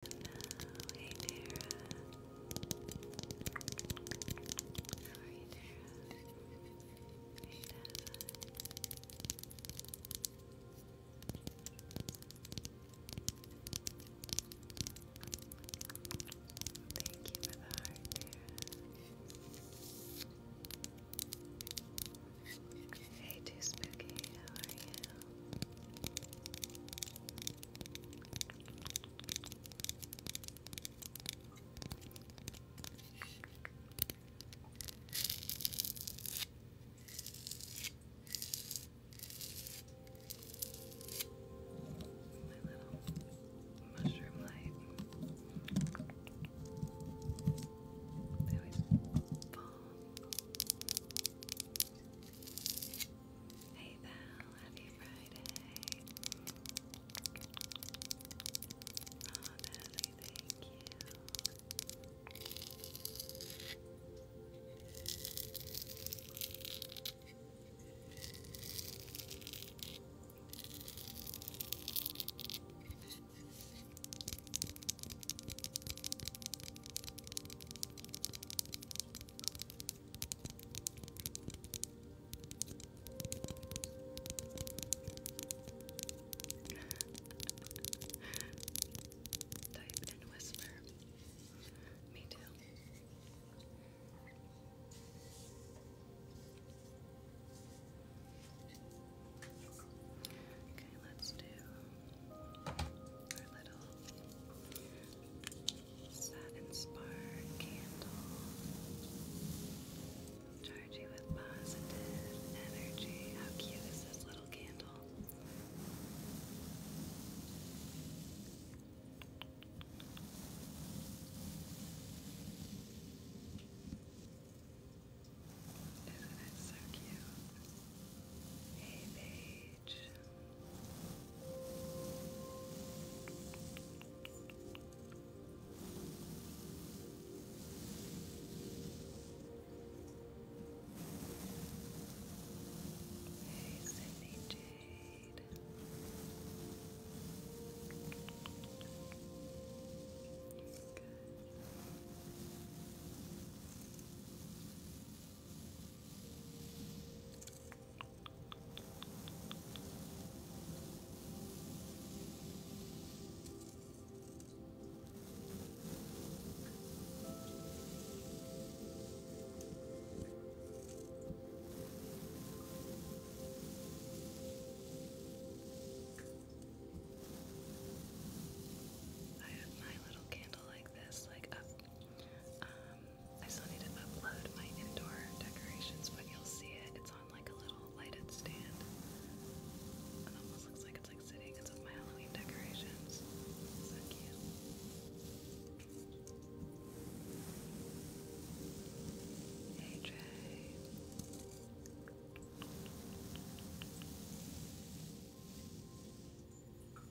hey Tara. How are you, Tara? Thank you for the heart, Tara. Hey, Too how are you? My little mushroom light. They always fall. Hey Val, happy Friday. Oh, Natalie, thank you. Type and whisper. Me too. Okay, let's do our little satin spark candle. Charge you with positive energy. How cute is this little candle? Isn't it so cute? Hey, babe page. Hey, Sydney Jade. I have my little candle like this, like up um, I still need to upload my indoor decorations, but you'll see it. It's on like a little lighted stand. It almost looks like it's like sitting. It's with my Halloween decorations. So cute. Hey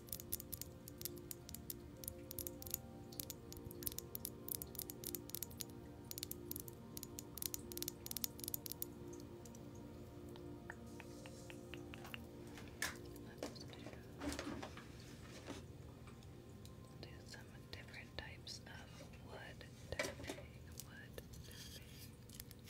do some different types of wood tapping, wood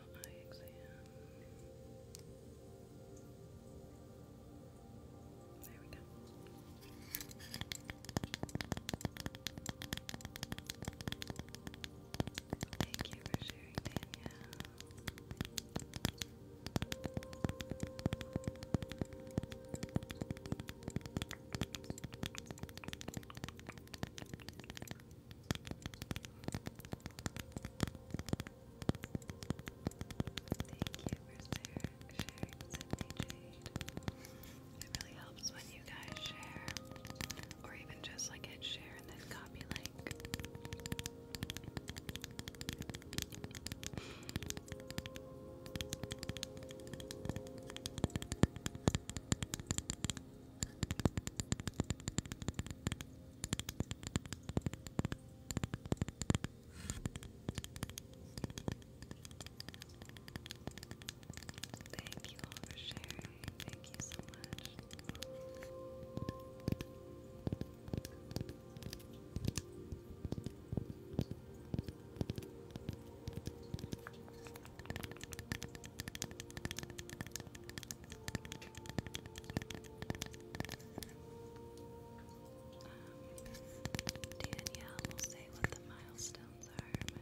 There we go. Thank you for sharing, Danielle. Jade. It really helps when you guys share, or even just like hit share and then copy link. Thank you for sharing. Thank you so much. Um, Danielle will say what the milestones are,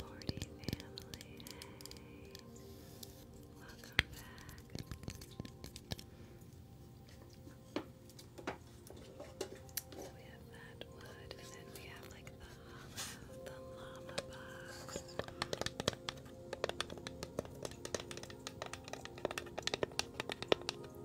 Forty family, welcome back. So we have that then we have like the the llama box.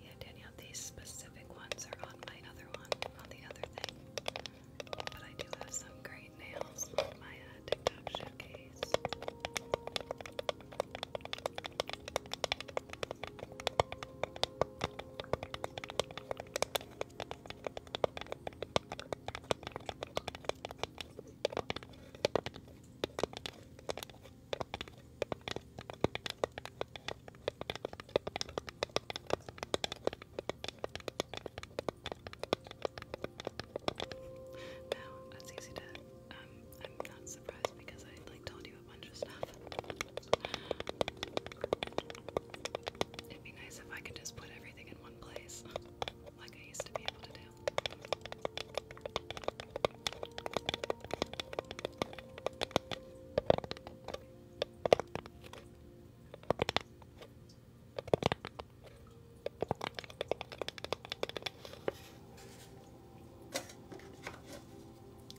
Yeah, Danielle, these specific ones are on my other one, on the other thing. But I do have some great white nails on my uh, TikTok showcase. I no, that's easy to. Um, I'm not surprised because I like told you a bunch of stuff. It'd be nice if I could just put everything in one place, like I used to be able to do.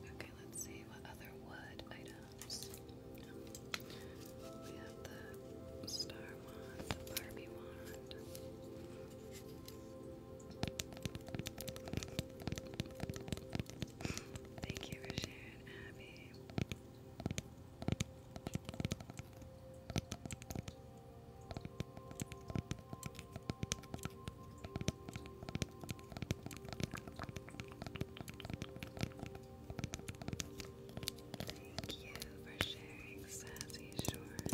Okay, let's see what other wood items. we have the star wand, the Barbie wand. Thank you for sharing, Abby. Thank you for sharing Sassy Shorts.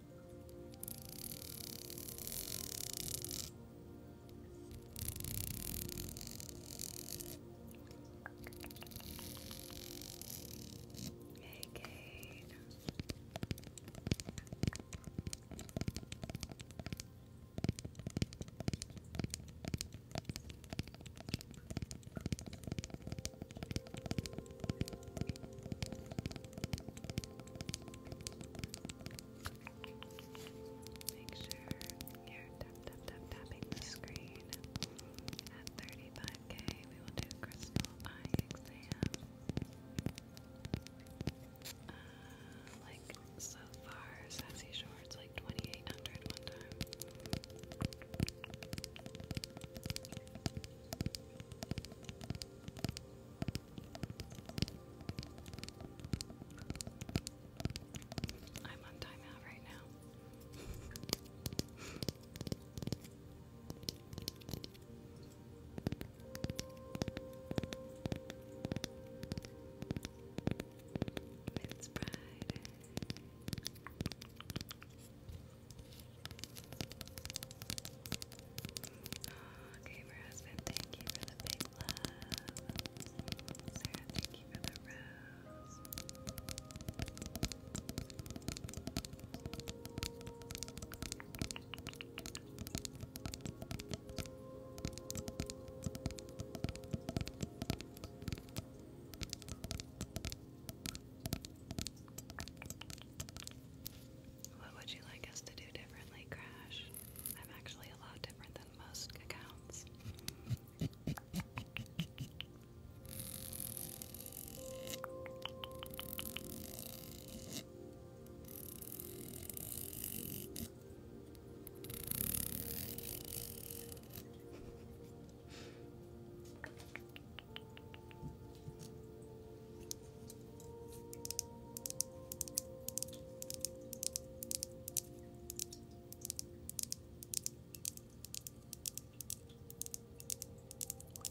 Hey, Kate. Hey, Make sure you're tapping the screen. At 35k, we will do crystal eye exam. Uh, like so far, sassy shorts like 2800 one time. I'm on timeout right now. it's Friday. Oh, Gamer Husband, thank you for the big love. thank you for the rose. What would you like us to do differently, Crash? I'm actually a lot different than most accounts.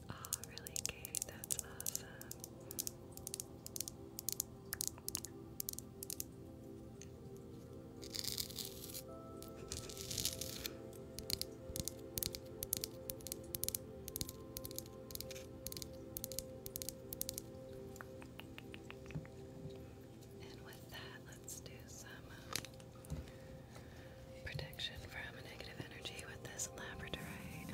Oh, really, Kate? That's awesome. And with that, let's do some um, protection from negative energy with this labradorite.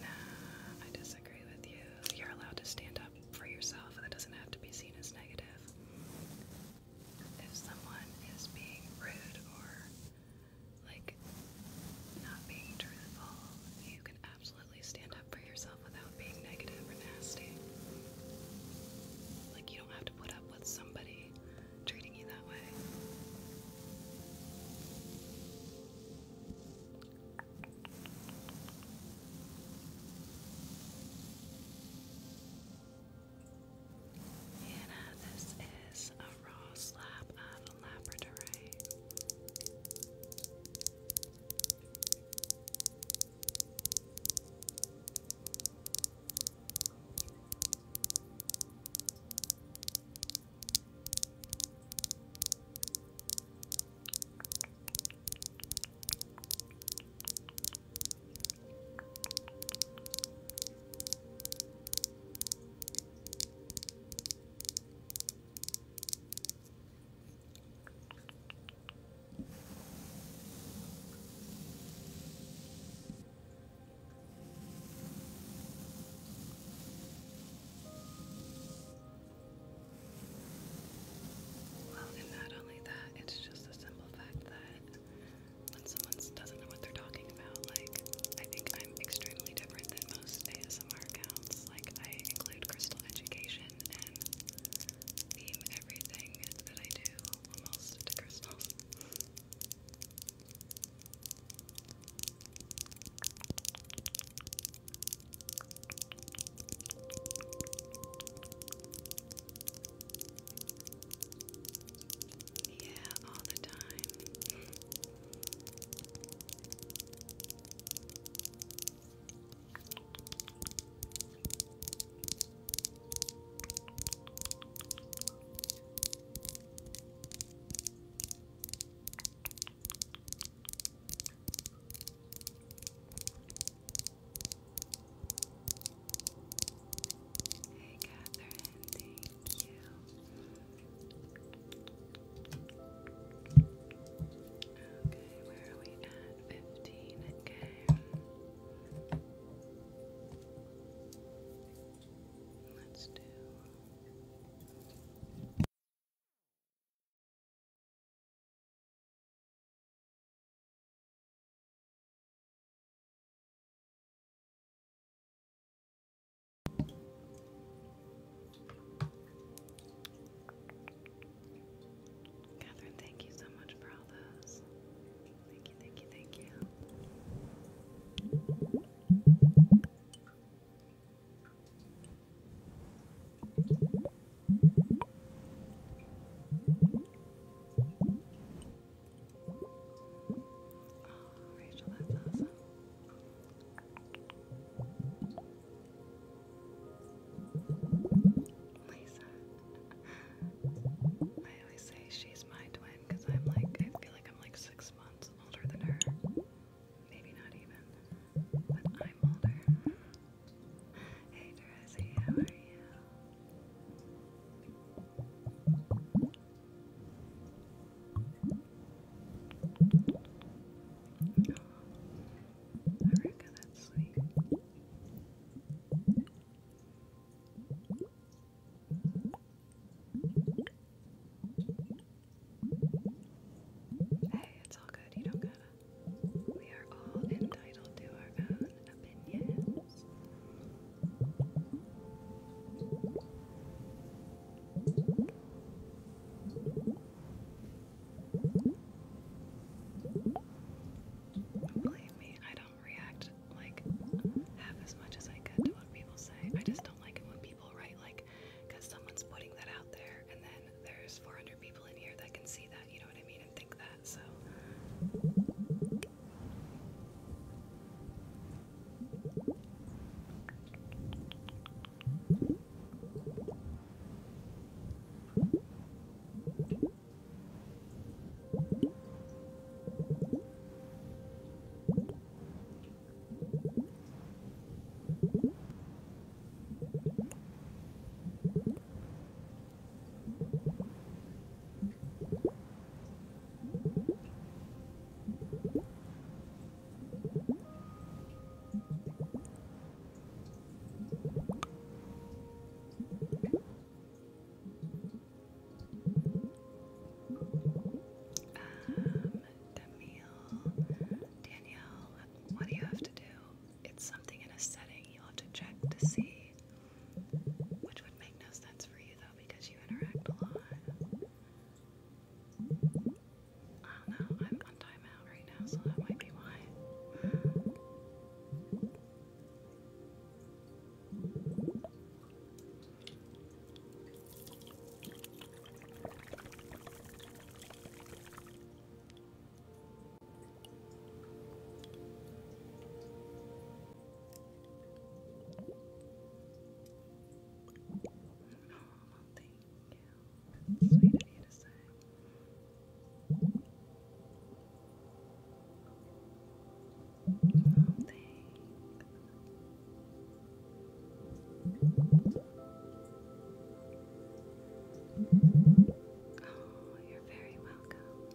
Nah, I disagree with you. You're allowed to stand up for yourself, and that doesn't have to be seen as negative. If someone is being rude or like not being truthful, you can absolutely stand up for yourself without being negative or nasty. Like, you don't have to put up with somebody treating you that way. Hannah, this is a raw slab of labradorite. Well, and not only that, it's just a simple fact that when someone doesn't know what they're talking about, like, I think I'm extremely different than most ASMR accounts. Like, I include crystal education and theme everything that I do almost to crystals. Yeah, all the time. Hey, Catherine, thank you. Okay, where are we at? 15k. Let's do. Catherine, thank you so much for all those. Thank you, thank you, thank you. Rachel, that's awesome. Lisa. I always say she's my twin because I'm like, I feel like I'm like six months older than her. Maybe not even, but I'm older. Hey, Teresi, how are you? I reckon that's sweet. Hey, it's all good. You don't gotta. We are all entitled to our own opinion. Believe me, I don't react like half as much as I could to what people say. I just don't like it when people write like, because someone's putting that out there, and then there's 400 people in here that can see that that, you know what I mean, and think that, so. Um, Danielle, Danielle, what do you have to do? It's something in a setting. You'll have to check to see which would make no sense for you though because you interact a lot. I don't know, I'm on timeout right now, so that might be why thank you. That's sweet of you to say. Oh, thanks. Oh, you're very welcome.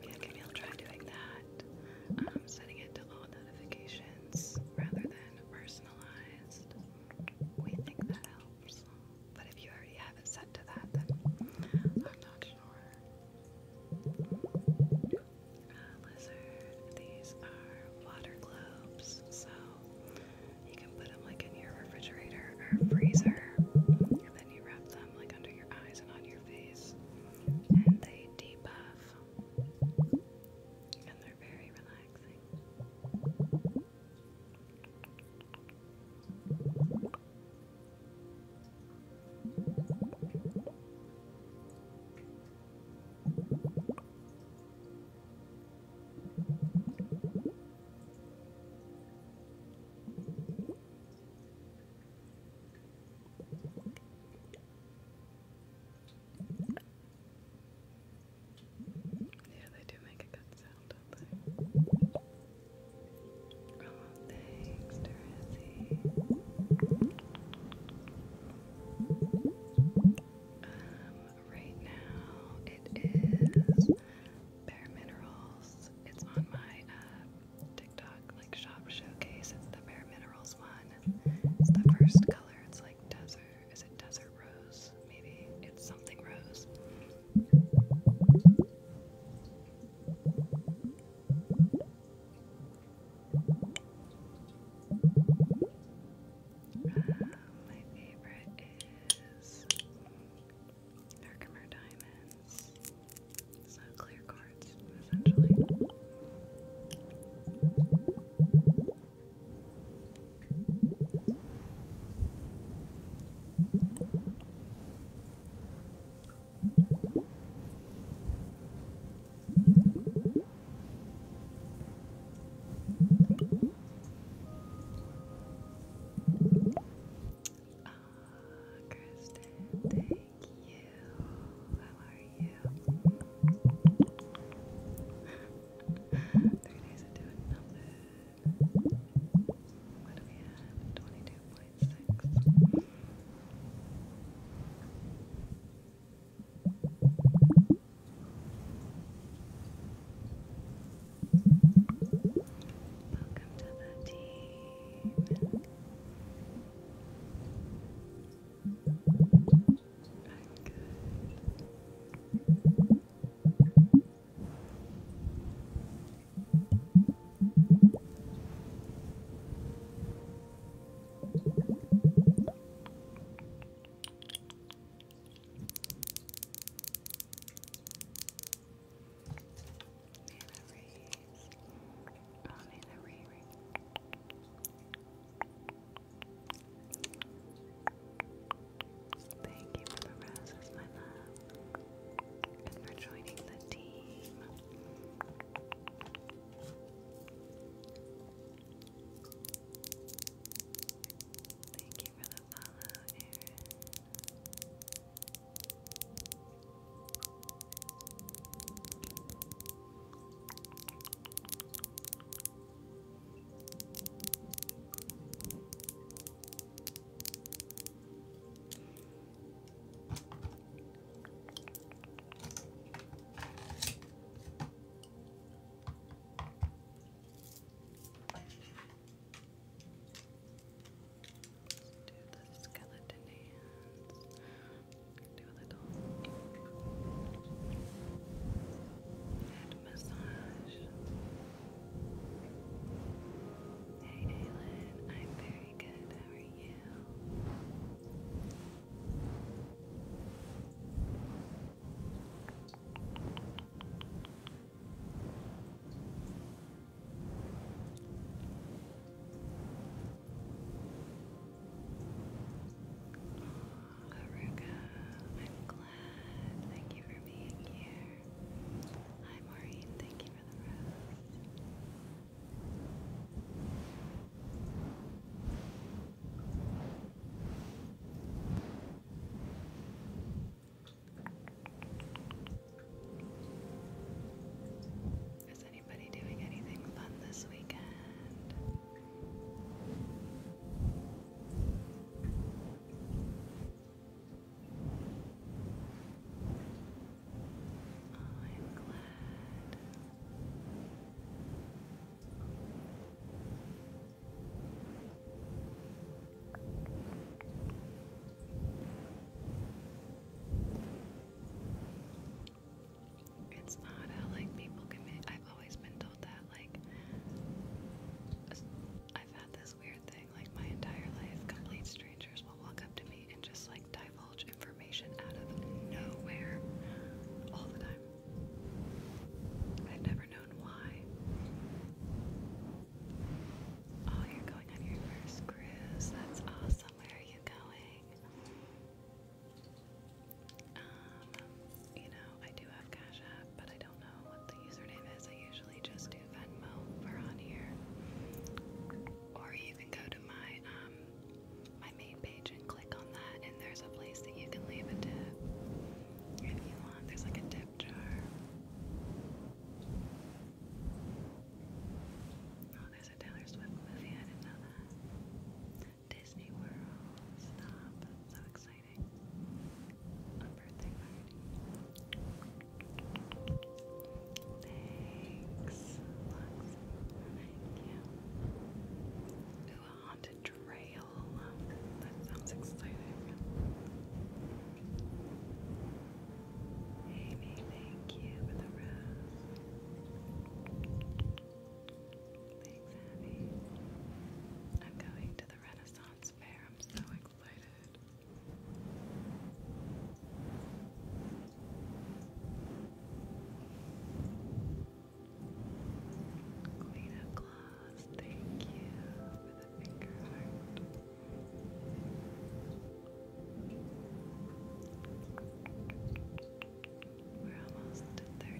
Yeah, maybe I'll try doing that. Um, setting it to all notifications rather than personalized. We think that helps. But if you already have it set to that, then I'm not sure. Uh, these are water globes, so you can put them like in your refrigerator or freezer, then you wrap them like under your eyes and on your face, and they debug have. And they're very relaxing. Yeah, they do make a good sound, don't they? Oh, thanks, Dorothy. Um, right now it is Bare Minerals. It's on my uh, TikTok like shop showcase. It's the Bare Minerals one. It's the first color. It's like desert. Is it desert rose? Maybe it's something rose. Uh, my favorite is Herkimer Diamonds. So clear cards, essentially. Uh, Kristen, Thank you. How are you? Three days of doing Twenty-two point six. Welcome to the team. And over here. Riri's. Only the Riri. Thank you for the roses, my love. And for joining the team. Thank you for the follow, Erin. Let's do the skeleton hands do a little head massage. Hey Aylin, I'm very good. How are you? Oh, I'm glad. Thank you for being here. Hi, Maureen. Thank you for the rose. Anybody doing anything fun this weekend? I'm glad. It's not like people commit. I've always been told that like I've had this weird thing like my entire life. Complete strangers will walk up to me and just like divulge information out of nowhere all the time. I've never known why. Oh, you're going on your first cruise. That's awesome. Where are you going? Um, you know, I do have Cash App, but I don't know what the username is. I usually just do Venmo for on here. Or you can go to my um, my main page and click on that and there's a place that you can leave a tip. If you want, there's like a tip jar. Oh, there's a Taylor Swift movie, I didn't know that. Disney World. Stop. so exciting. birthday party. Thanks, Lux. Thank you. Ooh, a haunted trail. That sounds exciting. Amy, thank you for the rose. Thanks, Abby. I'm going to the Renaissance Fair. I'm so excited. Queen of thank you for the finger heart. We're almost to 35.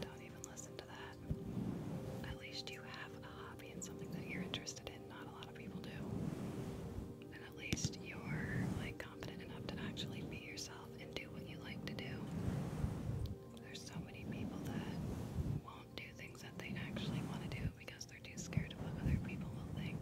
don't even listen to that. At least you have a hobby and something that you're interested in. Not a lot of people do. And at least you're like confident enough to actually be yourself and do what you like to do. There's so many people that won't do things that they actually want to do because they're too scared of what other people will think.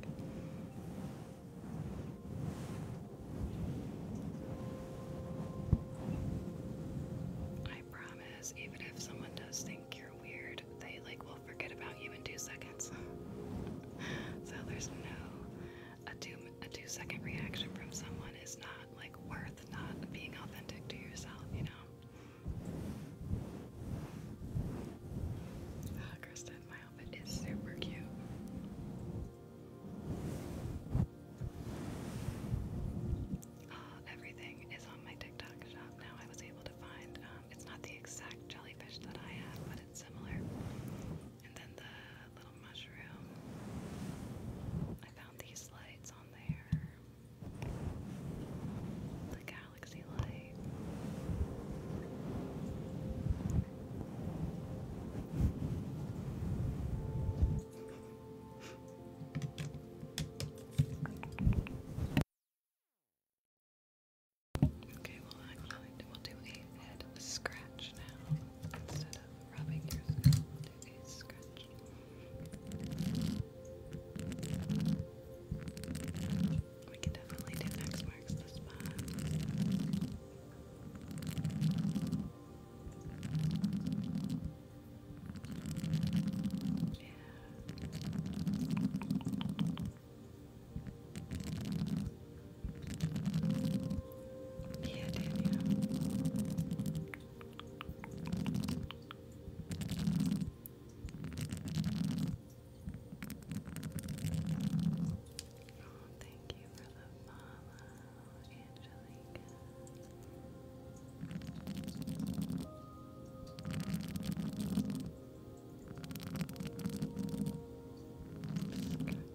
I promise, even if someone does think you're weird, they like will forget about you in two seconds. so there's no a two a two second reaction from someone is not like worth not being authentic to yourself, you know. Oh, Kristen, my outfit is super cute. Uh, everything is on my TikTok shop now. I was able to find, um, it's not the exact jellyfish that I had, but it's similar. And then the little mushroom. I found these lights on there. The galaxy light. Okay, well, I we'll do a scratch now instead of rubbing your scalp their face We can definitely do X marks the spot. Yeah. Yeah, did oh, thank you for the follow, Angelica.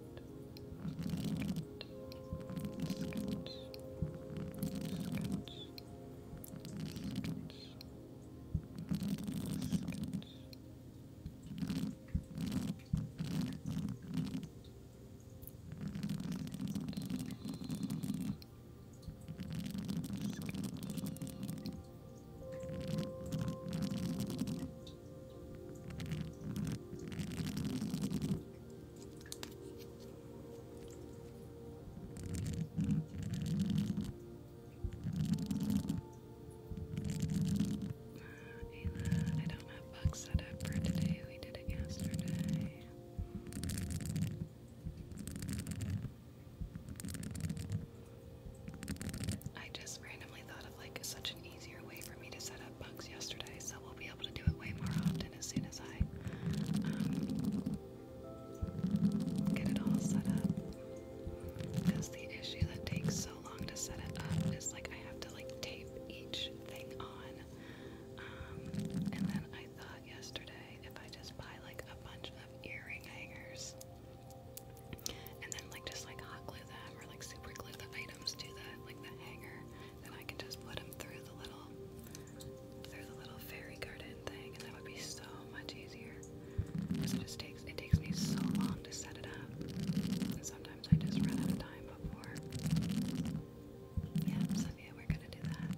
Sketch. Ayla, I don't have bugs set up for today. We did it yesterday. I just randomly thought of like such an easier way for me to set up bugs yesterday, so we'll be able to do it way more often as soon as I um, get it all set up. Because the issue that takes so long to set it up is like I have to like tape each thing on. Um, and then I thought yesterday if I just buy like a bunch of earring hangers and then like just like hot glue them or like super glue the items to the like the hanger then I can just put them through the little through the little fairy garden thing, and that would be so much easier. Because it just takes me so long to set it up, and sometimes I just run out of time before. Yeah, so we're gonna do that.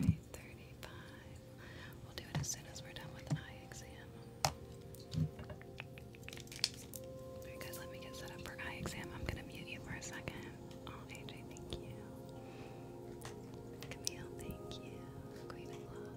Alright, 35. We'll do it as soon as we're done with an eye exam guys, let me get set up for eye exam. I'm gonna mute you for a second. Oh, AJ, thank you. Camille, thank you. Queen thank you.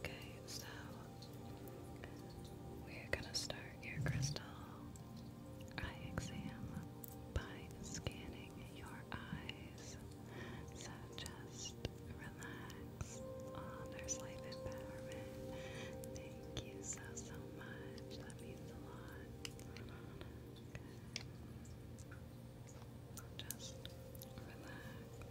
Okay, so we're gonna start ear crystal eye exam by scanning your eyes. So relax. Oh, there's life empowerment. Thank you so, so much. That means a lot. Just relax.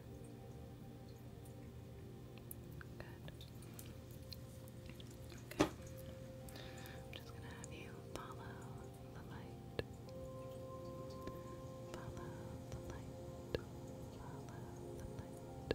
Good. I'm just gonna have you Follow the light. Follow the light. Follow the light. Follow the light.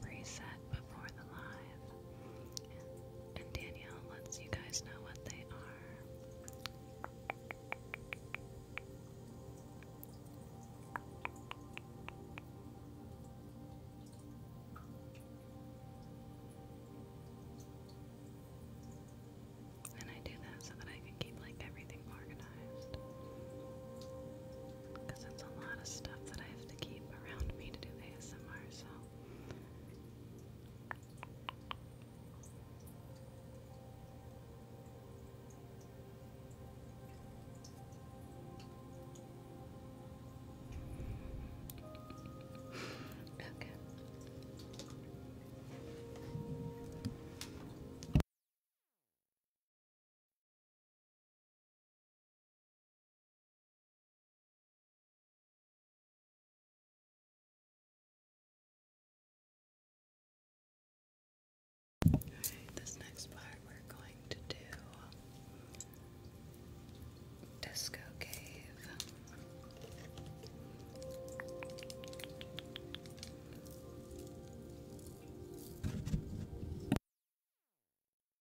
Reset before the live, and Danielle lets you guys know what they are. And I do that so that I can keep like everything organized because it's a lot of stuff that I have to keep around me to do ASMR, so. okay this next part we're going to do Disco Cave.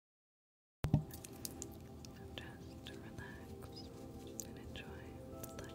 Just relax and enjoy the light. Just relax.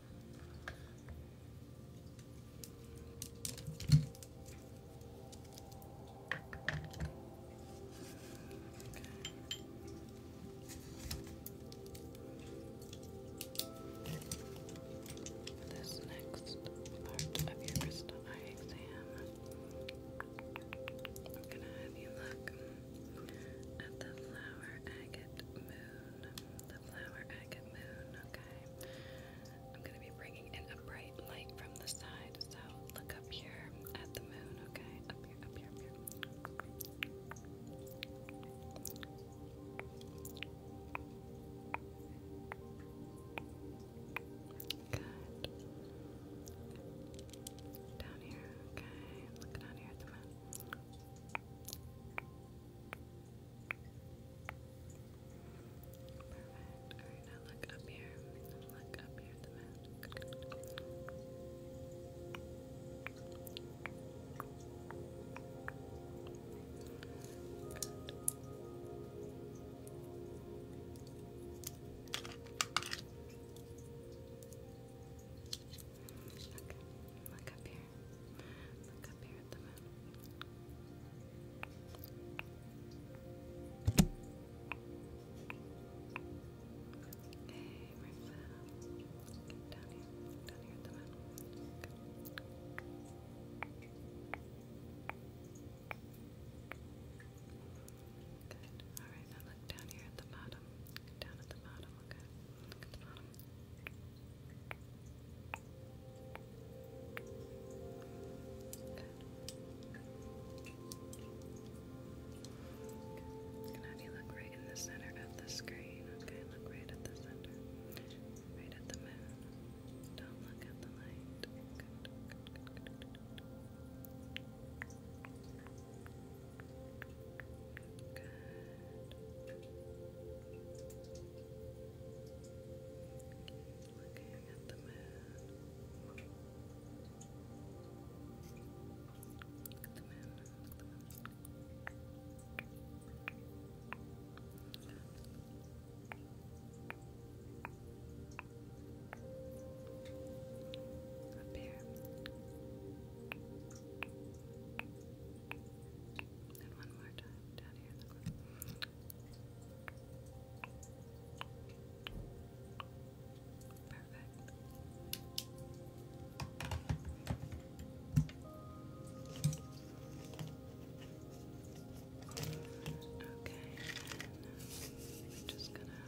For this next part of your crystal eye exam, I'm gonna have you look at the flower agate the flower agate moon, okay. I'm going to be bringing in a bright light from the side, so look up here at the moon, okay? Up here, up here, Good. Down here, okay. Look down here at the moon. Perfect. Alright, now look up here. Look up here Okay, look up here. Look up down here. down here at the moon. Good. Alright, now look down here at the bottom. Down at the bottom to Can have you look right in the center of the screen? Okay, look right at the center. Right at the moon. Don't look at the light. good, good, good, good. Keep looking Look at the moon. Look at the moon. Up here. And one more time down here in the corner. Perfect. Okay, and we're just gonna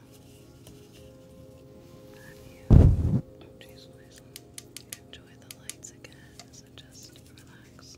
have you. Oh, jeez, listen enjoy the lights again, so just relax.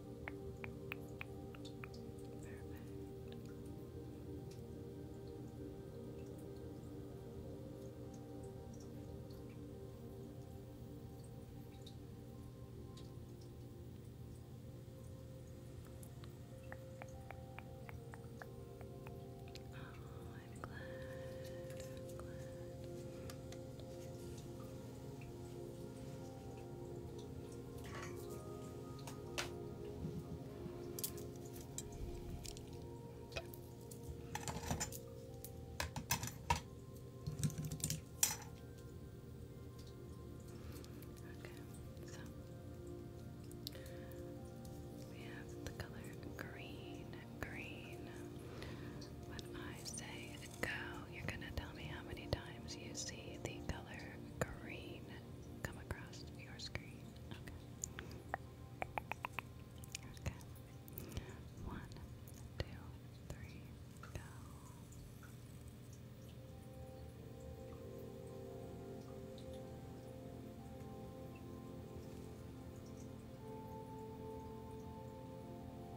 Oh, I'm glad. I'm glad so we have the color green, green. When I say go, you're gonna tell me how many times you see the color green come across your screen. Okay. One, two, three, go.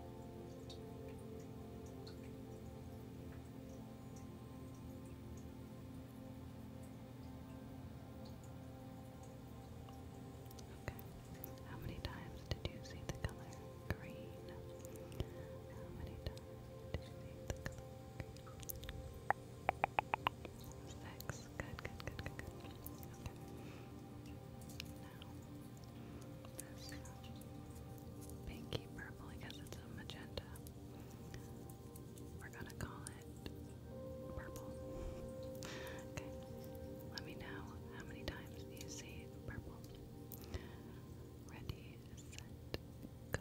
Okay. How many times did you see the color green? How many times did you see the color green? Six. Good, good, good, good, good. Okay. Now, this pinky purple because it's a magenta. We're gonna call it purple. okay, let me know how many times you see purple. Ready, set, go.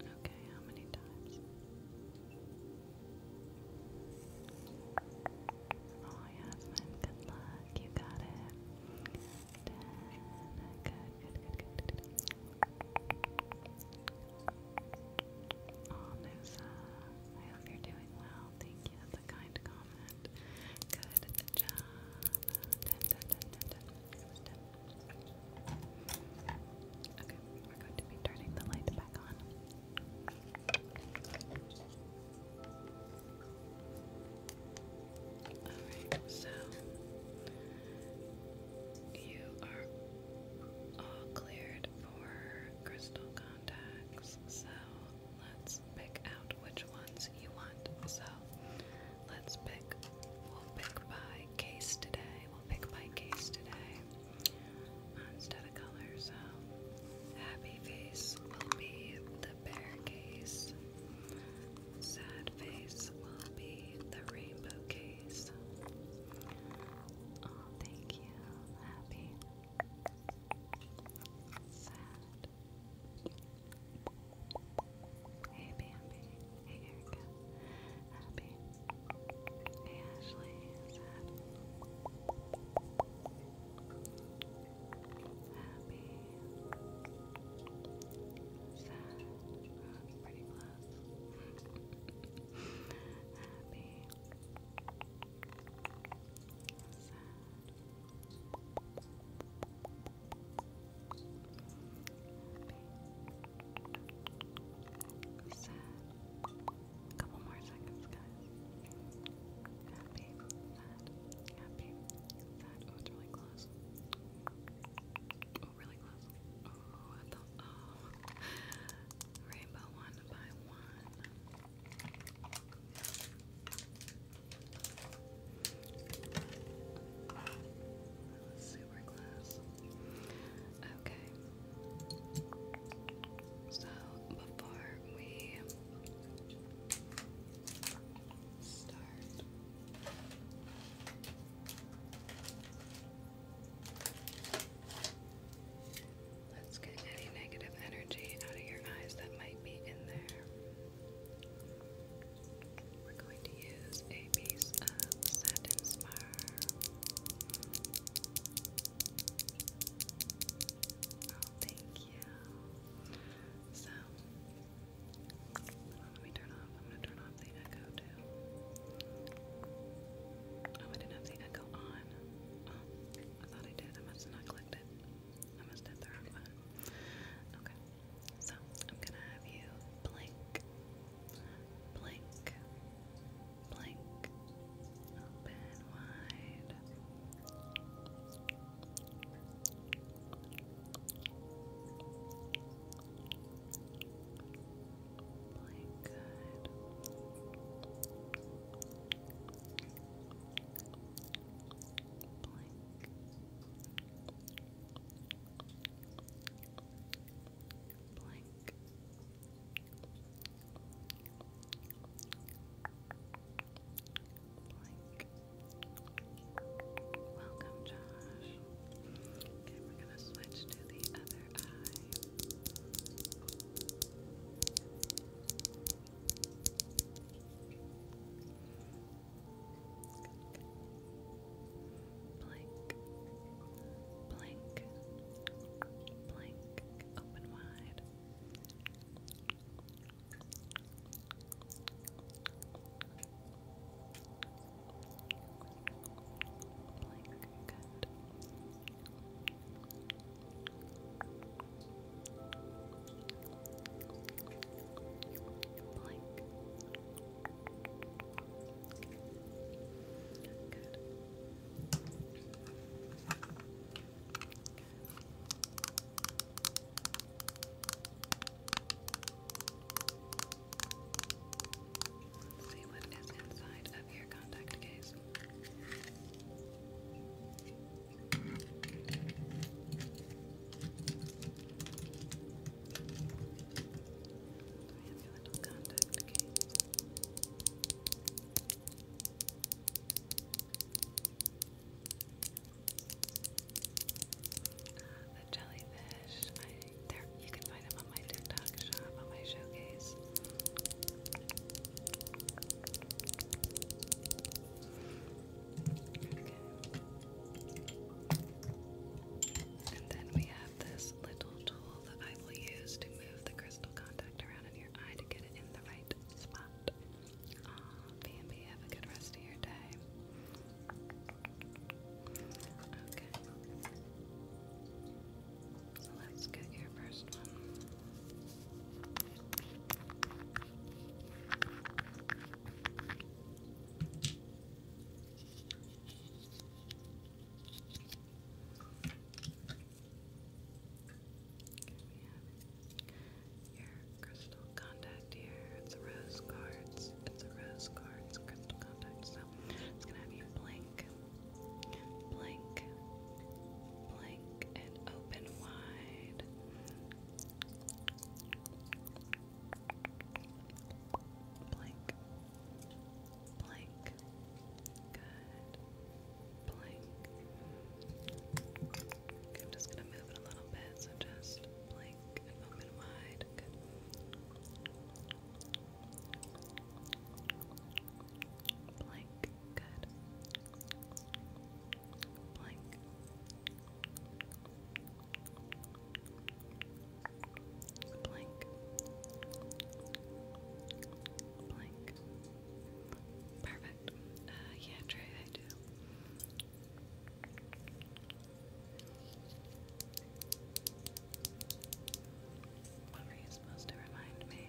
Okay, how many times? Oh, Yasmin, good luck. You got it. Good, good, good, good, good. Oh, uh, Nusa. I hope you're doing well. Thank you. That's a kind comment. Good job. Okay, we're going to be turning the light back on. Alright, so you are all cleared for crystal contacts, so let's pick out which ones you want. So let's pick, we'll pick by case today. We'll pick by case today instead of color. So happy face will be the bear case, sad face will be the rainbow case. Oh, thank you, happy. Sad. Hey Bambi. Hey Erica. Happy. Hey Ashley. Sad. Happy. Sad. pretty close. Happy. Sad. Sad. Couple more seconds, guys. Happy, sad, happy, sad. Oh, it's really close. Oh, really close. Oh, I thought, oh. Rainbow one by one. Super glass. Okay. So before we start. Let's get any negative energy out of your eyes that might be in there. We're going to use a piece of satin spar. Oh, thank you. So, let me turn off. I'm going to turn off the echo too. Oh, I didn't have the echo on. Oh, I thought I did. I must not clicked it almost did the wrong one. Okay, so I'm gonna have you blink, blink, blink, open wide. Blink, blank. Blank. Welcome, Josh. Okay, we're gonna switch to the other eye. Blink, blink, blink, open wide. Blink, good. Blink. Good. Let's see what is inside of your contact case have the jellyfish, there, you can find them on my TikTok shop, on my showcase. Okay. And then we have this little tool that I will use to move the crystal contact around in your eye to get it in the right spot. Aw, and b have a good rest of your day. Okay. let's get your first one. Your crystal contact here. It's a rose quartz. It's a rose quartz crystal contact. So it's gonna have you blink, blink, blink, and open wide. Blank. Blank. Good. Blank. Okay, I'm just gonna move it a little bit, so just blink and open wide. Good. Blank. Good blank. Blank. Blank. Perfect. yeah, Trey, I do. What were you supposed to remind me?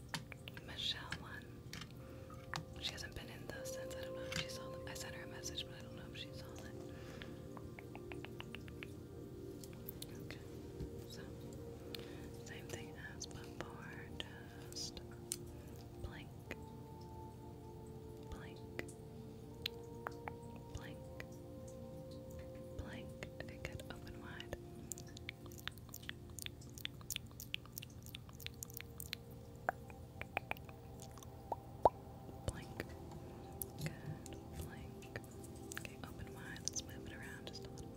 Michelle one. She hasn't been in those since. I don't know I sent her a message, but I don't know if she saw it. same thing as before. Just blink, blink, blink, blink. Okay, good. Open wide. Blink. Good. Blink. Okay, open wide. Let's move it around just a little.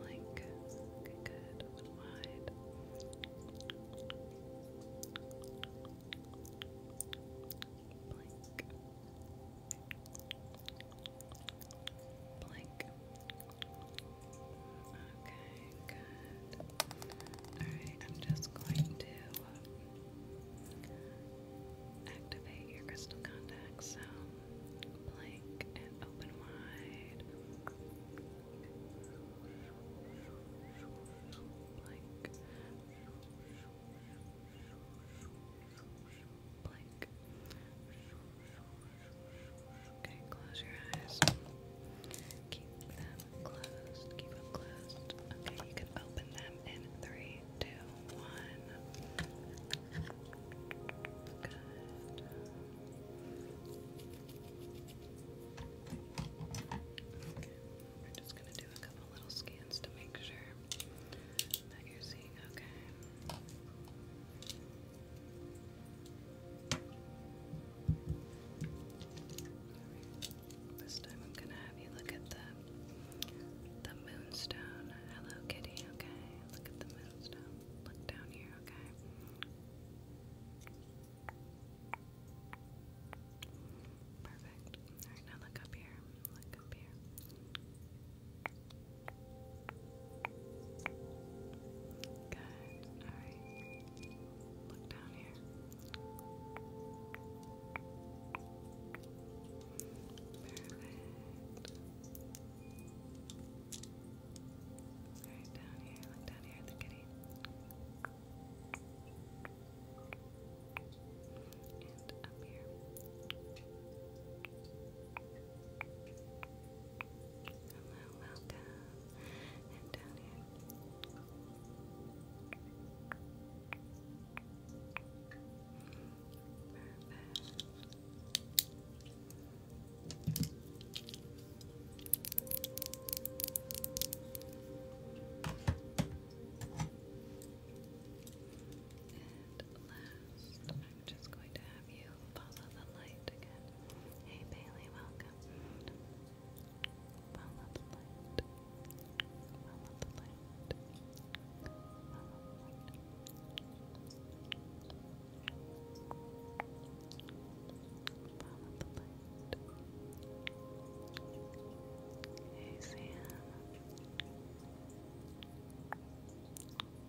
Blink. Okay, good. Open wide. Blink. Blink. Okay, good. Alright, I'm just going to activate your crystal contacts. So, open wide. Blink blank. Okay, close your eyes. Keep them closed. Keep them closed. Okay, you can open them in three, two, one. Good. we're just gonna do a couple little scans to make sure that your this time I'm gonna have you look at the the moonstone. Hello kitty, okay. Look at the moonstone. Look down here, okay. Perfect. Alright, now look up here. Look up here. Good. All right. Look down here. All right, down here. Look down here at the kitty. And up here. Hello, welcome. And down here. Perfect. And last, I I'm just going to have you follow the light again. Hey Bailey, welcome. Follow the light. Follow the light. Follow the light. Hey Sam.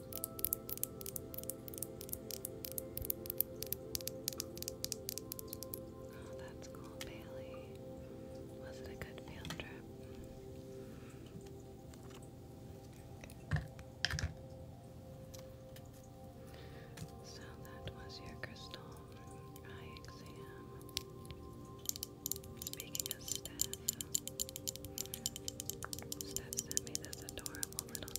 Oh, that's cool, Bailey. Was it a good field trip? So that was your crystal eye exam. Speaking of Steph, Steph sent me this adorable adorable little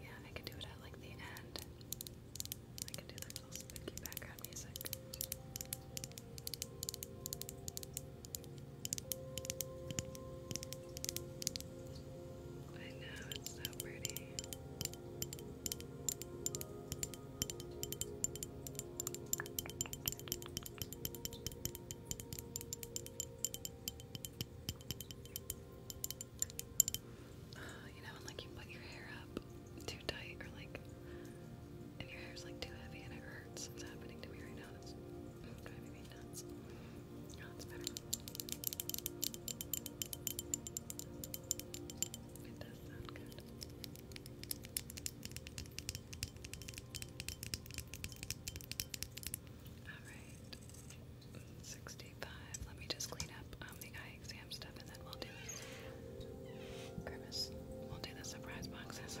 yeah, I could do it at like the end. I could do the little spooky background music. I know, it's so pretty you know, like you put your hair up too tight, or like if your hair's like too heavy and it hurts, it's happening to me right now. That's driving me nuts. It does sound good. Alright. 65. Let me just clean up um, the eye exam stuff and then we'll do grimace. We'll do the surprise boxes.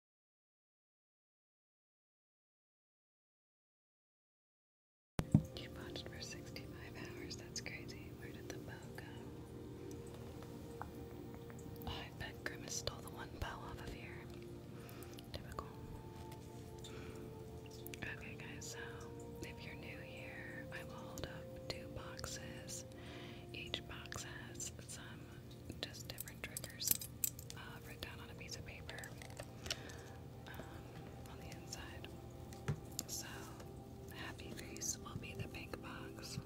You watched for 65 hours, that's crazy. Where did the bow go? Oh, I bet Grimace stole the one bow off of here. Typical. Okay guys, so if you're new here, I will hold up two boxes. Each box has some just different triggers uh, written down on a piece of paper. Um, on the inside. So, happy face will be the pink box,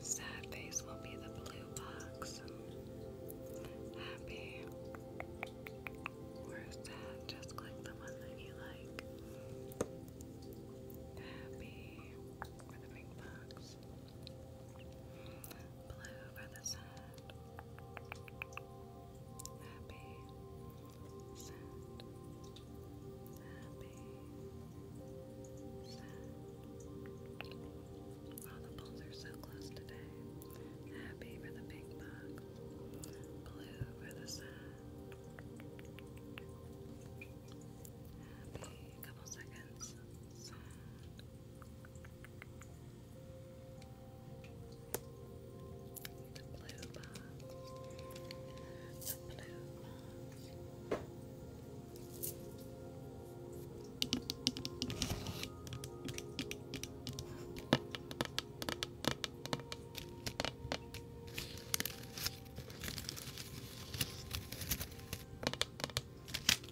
sad face will be the blue box. Happy or sad, just click the one that you like. Happy for the pink box, blue for the sad happy, sad, happy, sad. All the poles are so close today. Happy for the big bucks, blue for the sun. Happy, a couple seconds, sad. The blue box. The blue box.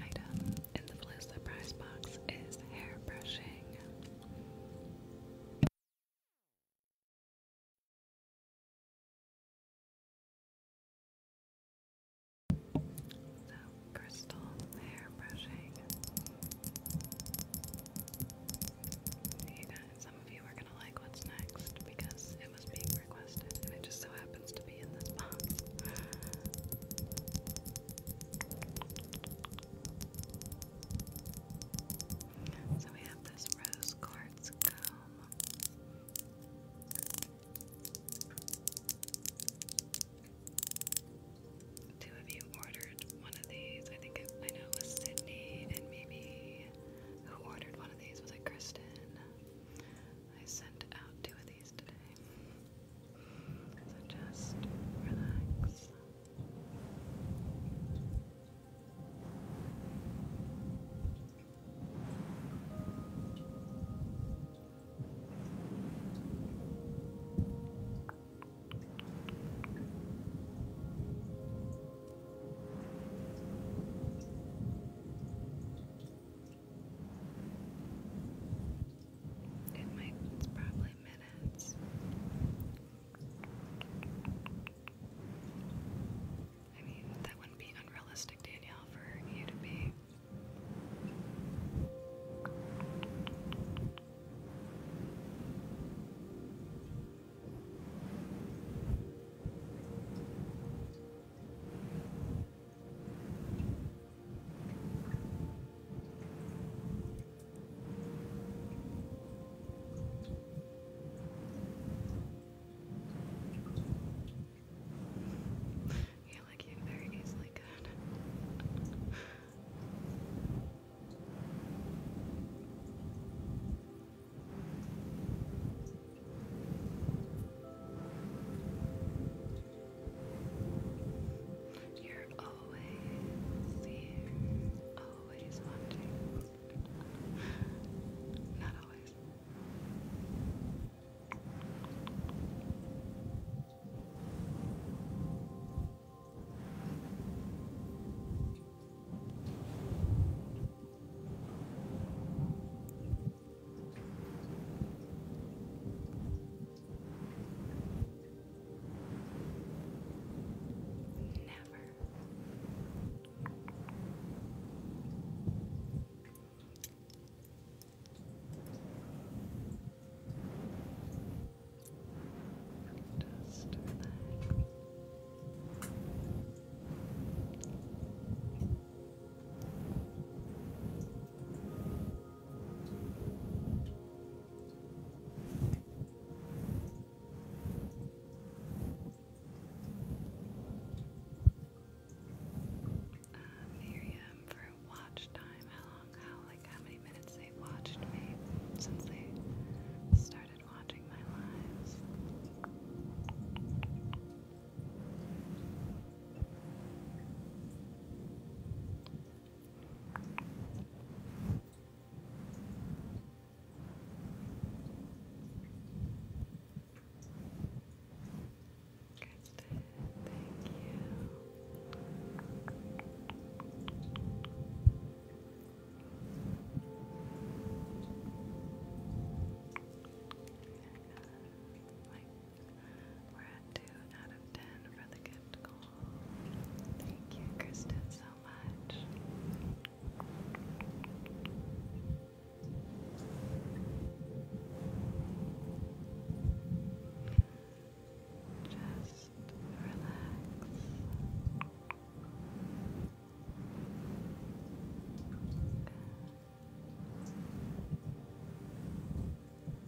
item in the blue surprise box is hairbrushing. So, crystal hair You guys, some of you are going to like what's next because it was being requested and it just so happens to be in this box. So we have this rose quartz comb. Two of you ordered one of these. I think I know it was Sydney and maybe who ordered one of these was it Kristen? I sent out two of these today. So just relax. It might, it's probably minutes. I mean, that wouldn't be unrealistic, Danielle, for you to be. Yeah, like you very easily could. You're always here, always watching. Not always. Never. Just relax. Uh, Miriam for watch time. How long? How like how many minutes they watched me since they started watching my lives? Kristen, thank you. we're at two out of ten for the gift goal. Thank you, Kristen, so much. Just relax. Welcome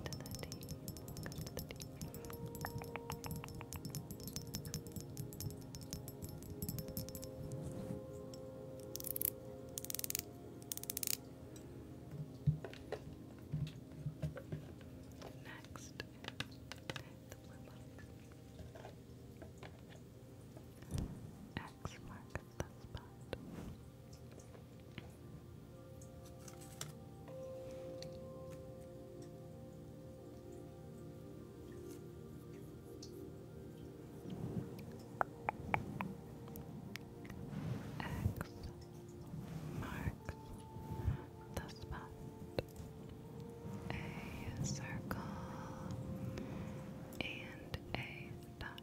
to the deep Next, the blue box. X marks the spot. X marks the spot. A circle and a dot.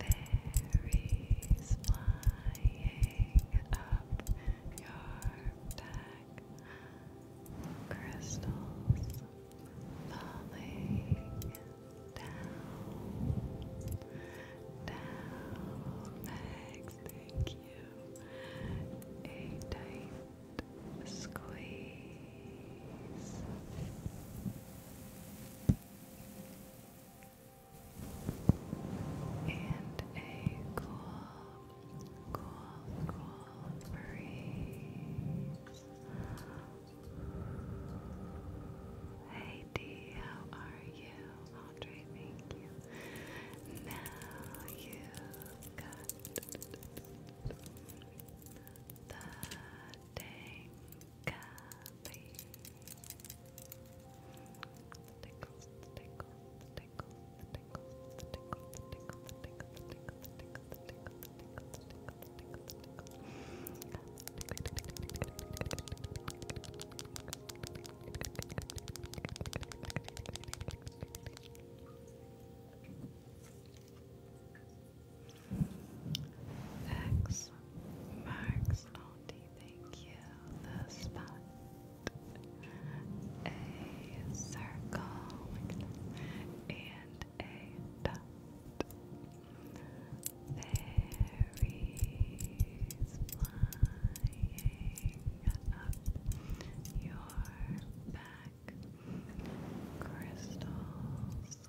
Fairies flying your back, crystals falling down, down. Max, thank you. A tight squeeze and a cool, cool, cool breeze. Hey D, how are you? Andre, thank you. Now you got the Dang tickles, the X marks the thank you. The spot. A circle and a dot. Fairies flying up your back. Crystals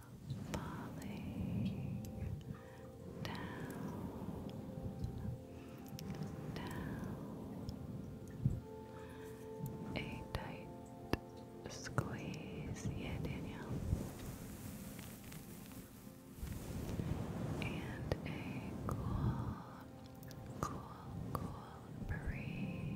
falling down, down, a tight squeeze, yeah, Danielle, and a cool, cool, cool breeze.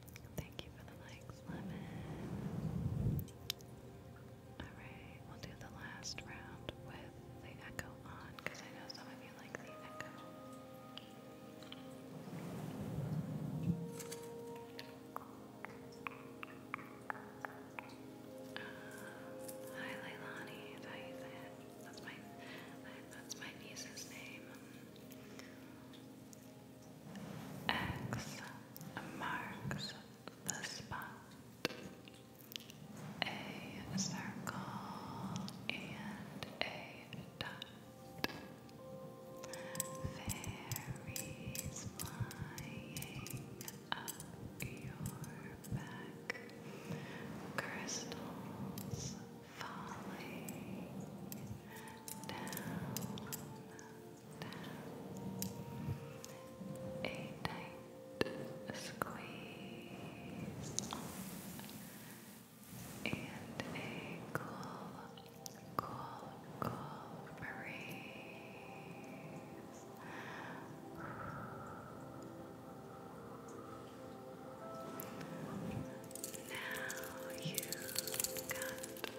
Thank you for the likes, Lemon. Alright, we'll do the last round with the echo on because I know some of you like the echo. Uh, hi Leilani, That's my, that's my niece's name. X marks the spot. A circle and a dot. Fairies flying up your back. Crystals falling down. A tight squeeze and a cool, cool, cool breeze. Now you got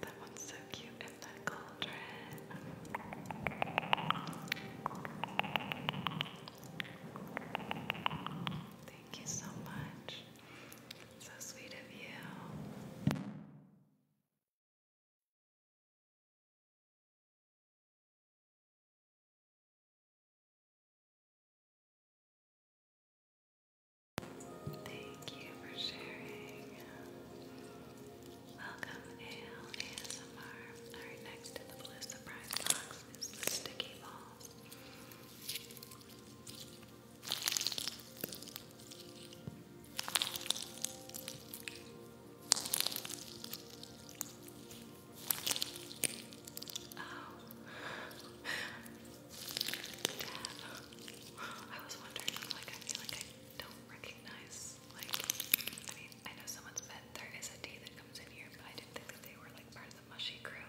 That one's so cute in that cauldron. Thank you so much. So sweet of you. Thank you for sharing. Welcome, AL ASMR. Alright, next to the blue surprise box is sticky ball. Oh. Dad. I was wondering, like, I feel like I don't recognize like, I mean, I know someone's pet, there is a tea that comes in here, but I didn't think that they were like part of the mushy crew.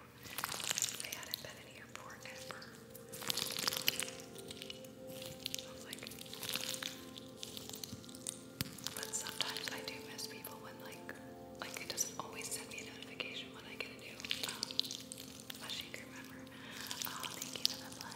They had been here forever. I was like, but sometimes I do miss people when like, like it doesn't always send me a notification when I get a new um, mushy crew member. Oh, thank you for the black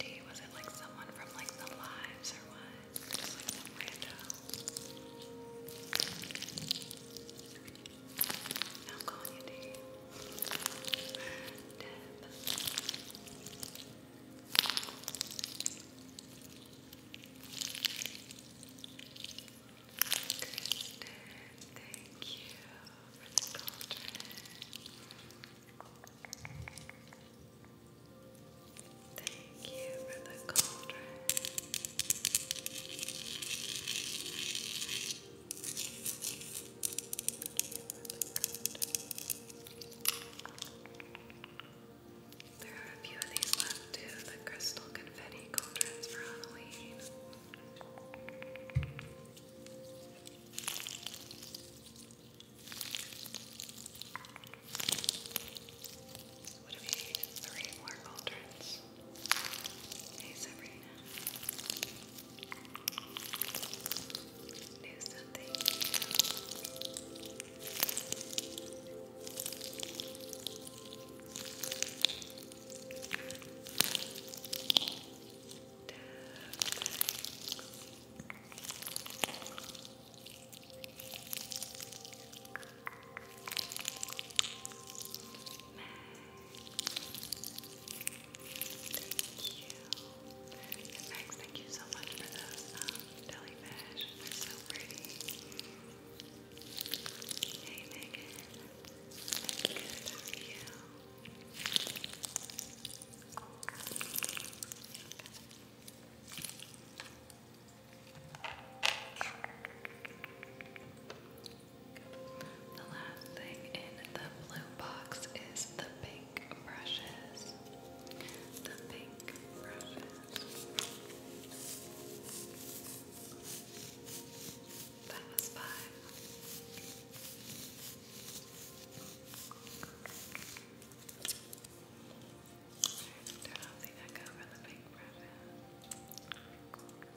Gee, was it like someone from like the lives or what? Just like some rando. I'm calling your name. Deb. Kristen, thank you for the cauldron. Thank you for the cauldron. There are a few of these left too, the crystal confetti cauldrons for Halloween would be three more cauldrons. Hey Sabrina. New something. Max, thank you so much for those um, jellyfish. They're so pretty. Hey, Megan. Good you. The last thing in the blue box is the pink brushes. The pink brushes. That was five. Turn off the echo for the pink brushes you.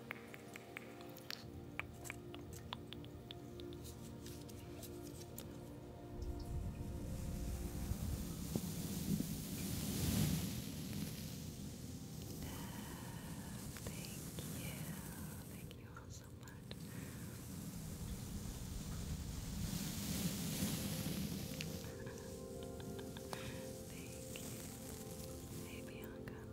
Thank you all so much. Thank you. Hey Bianca.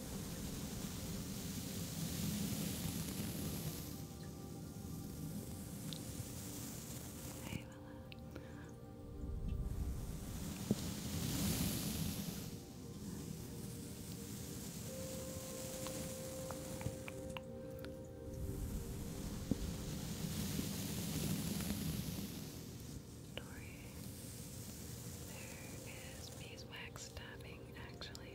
Hey, Dory, there is beeswax stabbing actually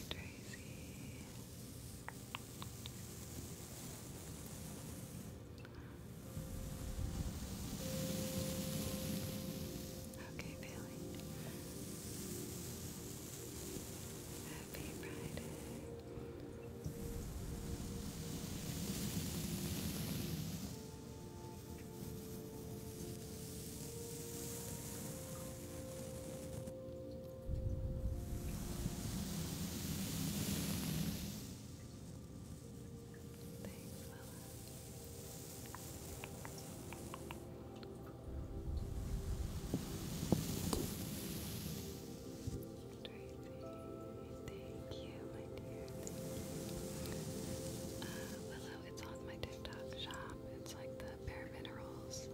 Hi, Tracy. Okay, Bailey. Happy Friday thank you, my dear. Uh, Willow, it's on my TikTok shop. It's like the bare minerals.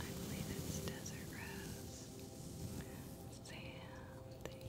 I believe it's desert rose. Sam, thank you.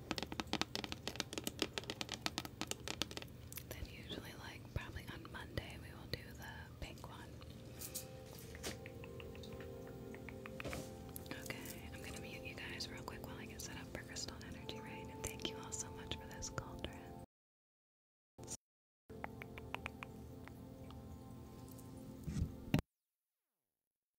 Then usually like probably on Monday we will do the pink one. Okay, I'm gonna mute you guys real quick while I get set up for Crystal Energy Rain thank you all so much for this cauldron.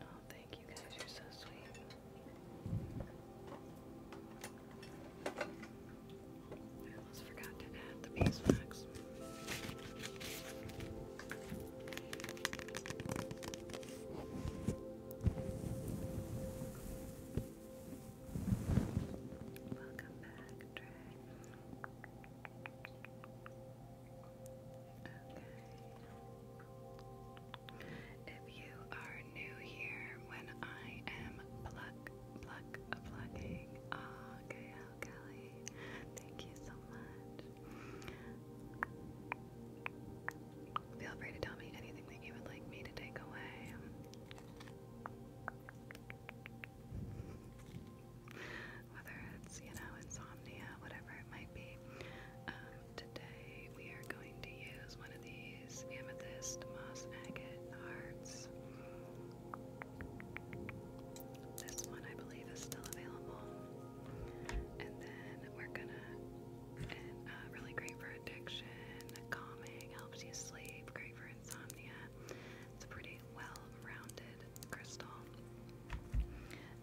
Oh, thank you guys, you're so sweet. I almost forgot to add the beeswax. Welcome back, Trey. Okay. If you are new here, when I am pluck, pluck, plucking. Oh, ah, Gail Kelly, thank you so much. Feel free to tell me anything that you would like me to take away. Whether it's, you know, insomnia, whatever it might be. Um, today we are going to use one of these amethyst moss agate hearts. This one I believe is still available. And then we're gonna, uh, really great for addiction, calming, helps you sleep, great for insomnia. It's a pretty well rounded crystal.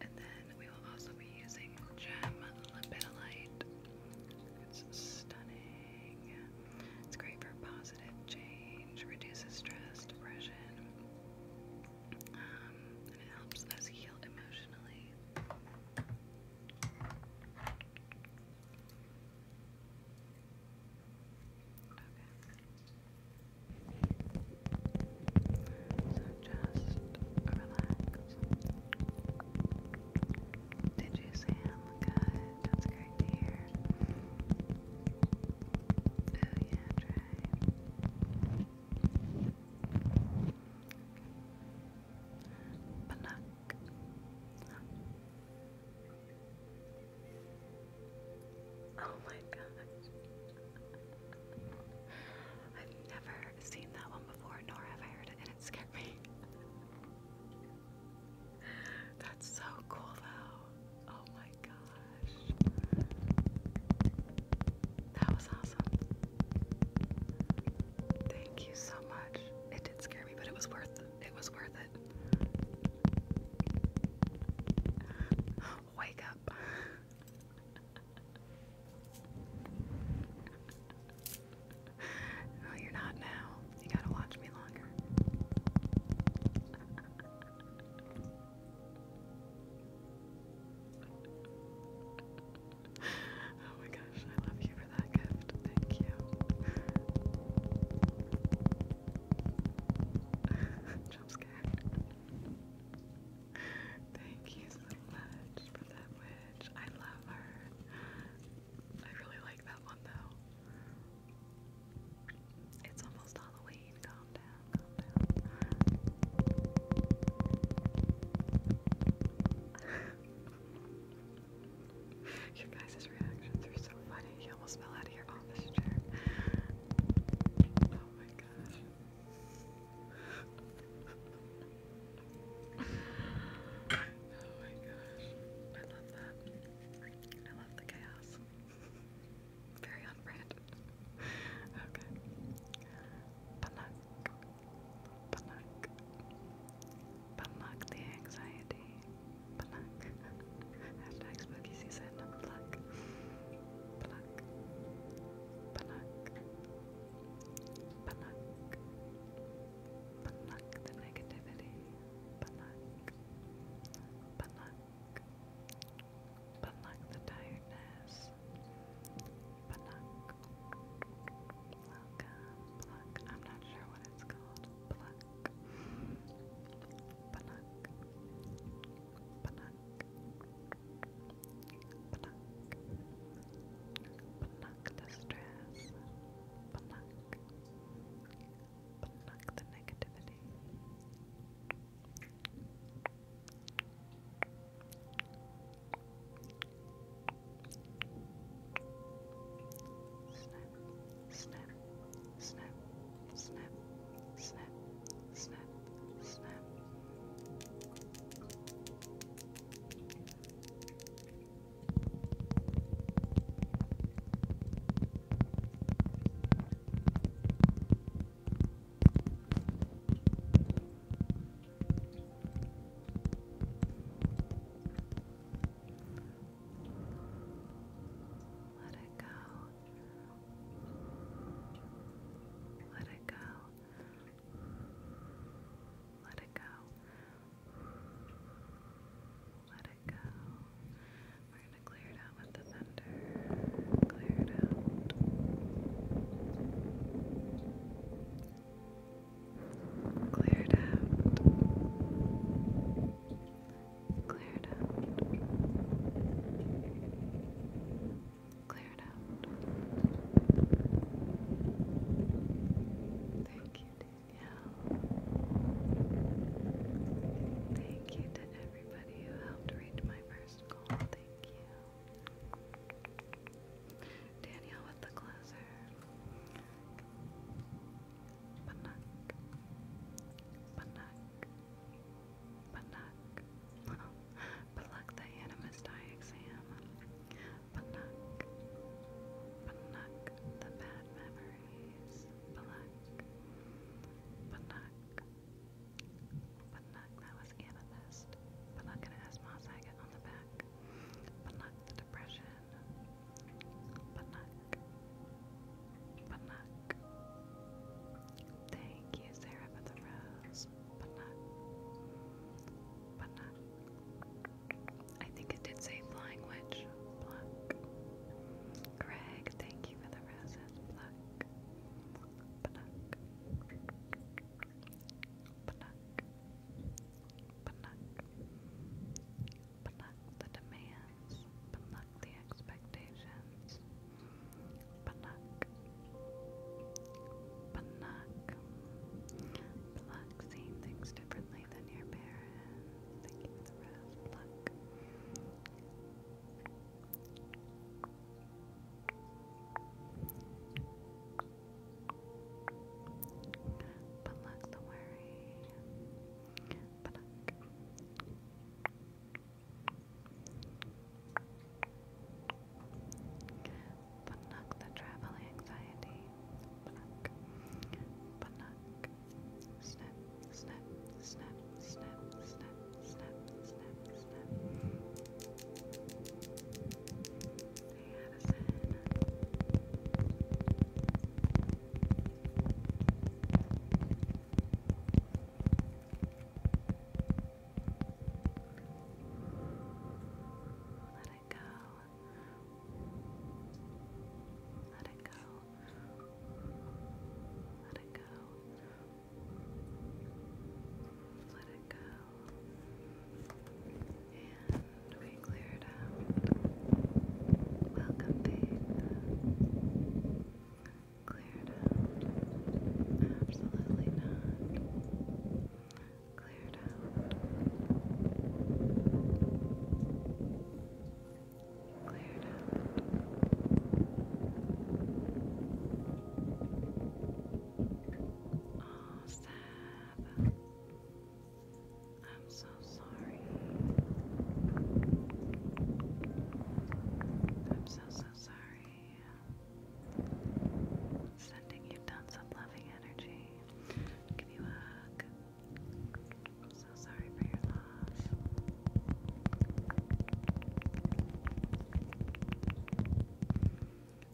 And then we will also be using gem lapidolite. It's stunning. It's great for positive change, reduces stress, depression, um, and it helps us heal emotionally. Okay. So just relax. Did you, Sam? Good. That's great to hear. Oh, yeah, try. Panak. Oh my gosh. I've never seen that one before, nor have I heard it, and it scared me. That's so cool, though. Oh my gosh. That was awesome. Thank you so much. It did scare me, but it was worth it. It was worth it. Wake up. no, you're not now. You gotta watch me longer. oh my gosh, I love you for that gift. Thank you. Jump Thank you so much for that witch. I love her. I really like that one though. It's almost Halloween. Calm down, calm down. Your guys' reactions are so funny. You almost fell out of your office chair. Oh my gosh. Oh my gosh. I love that. I love the chaos. Very on okay. Panak. Panak. Panak the anxiety. Panak. Hashtag spooky season. Pluck. Panak. Panak. Panak. Pluck the negativity. Pluck. Pluck. Pluck the tiredness. Pluck. Pluck. I'm not sure what it's called. Pluck. Pluck. Pluck. Pluck. the stress. Pluck. Pluck the negativity. Snap, snap, snap, snap, snap, snap, snap. Let it go. Let it go. Let it go. Let it go. We're going to clear it out with the thunder. Clear it out. Clear it out. Clear it out. Clear it out. Thank you, dear. Yeah. Thank you to everybody who helped reach my first goal. Thank you. Danielle with the closer. Panak. Panak. Panak. Pluck the Animus Die exam. Panak. Panak. The bad memory phrase. Black. Banak. Banak, that was amethyst. Banak, and it has Moss Agate on the back. Banak, the depression. Banak. Banak. Thank you, Sarah, for the rose. Banak. Banak. I think it did say Flying Witch. Pluck. thank you for the roses. Pluck. the demands. Pluck the expectations. Pluck. Pluck. Pluck seeing things differently than your parents. Thank you for the raft. Luck. But luck the worry. But luck. But knock the travel anxiety. But knock snap, snap, Let it go. Let it go. Let it go. Let it go. And we clear out. Welcome, Faith. Cleared out. Absolutely not. Cleared out cleared out. Oh, Sab. I'm so sorry. I'm so, so sorry. Sending you tons of loving energy. Give you a hug. I'm so sorry for your loss.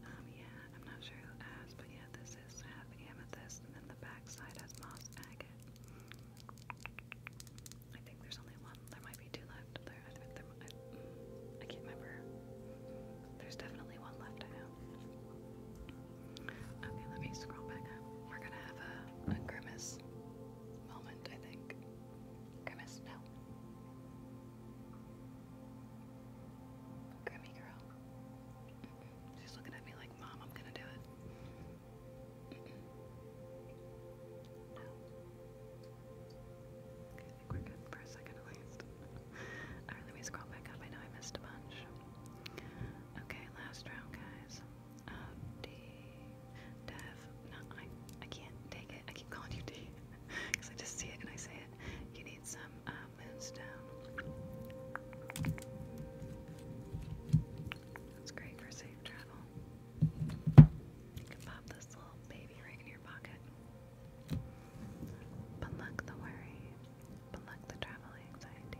Um, yeah, I'm not sure who asked, but yeah, this is half amethyst, and then the backside has moss agate. I think there's only one. There might be two left. There, I can't remember. There's definitely one left. I know. Okay, let me scroll back up. We're gonna have a, grimace moment, I think. Grimace, no. Grimmy girl. She's looking at me like, Mom, I'm gonna do it. No. Okay, I think we're good for a second at least. Alright, let me scroll back up. I know I missed a bunch. Okay, last round, guys. Um, Dave, Dev, I, I can't take it. I keep calling you D because I just see it and I say it. You need some uh, moonstone. That's great for safe travel. You can pop this little baby right in your pocket. Pluck the worry, pluck the travel anxiety,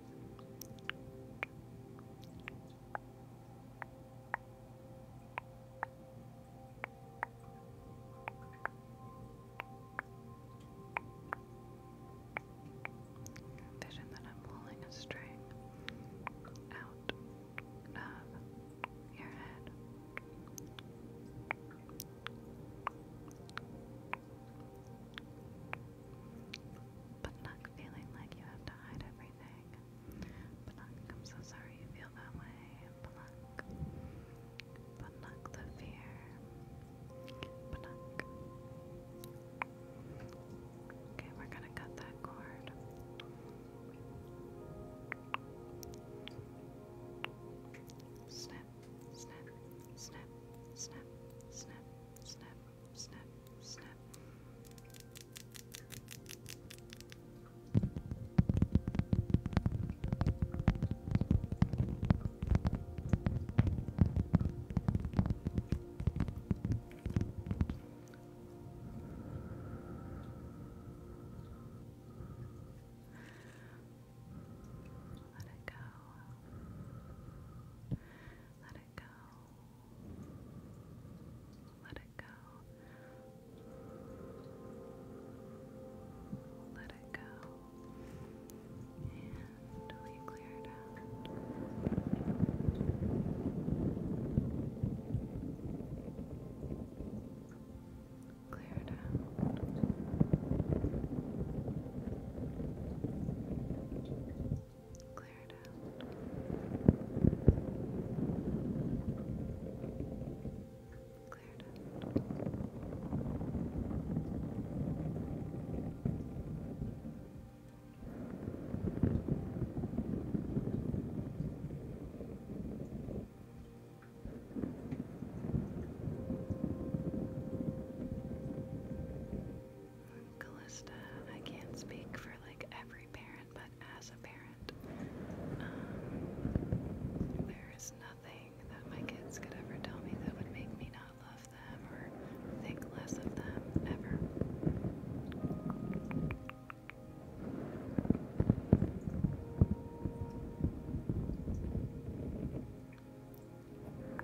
Vision that I'm pulling a string out of your head. But not feeling like you have to hide everything. Pluck, I'm so sorry you feel that way. Pluck. Pluck the fear. Pluck. Okay, we're gonna cut that cord. Snip, snip, snip, snip, snip, snip, Snap. Snap. Let it go. Let it go. Let it go. Let it go. And we clear it out. Clear it out. Clear it out. Clear it out. Clear it out. Callista, I can't speak for like every parent, but as a parent, um, there is nothing that my kids could ever tell me that would make me not love them or think less of them ever.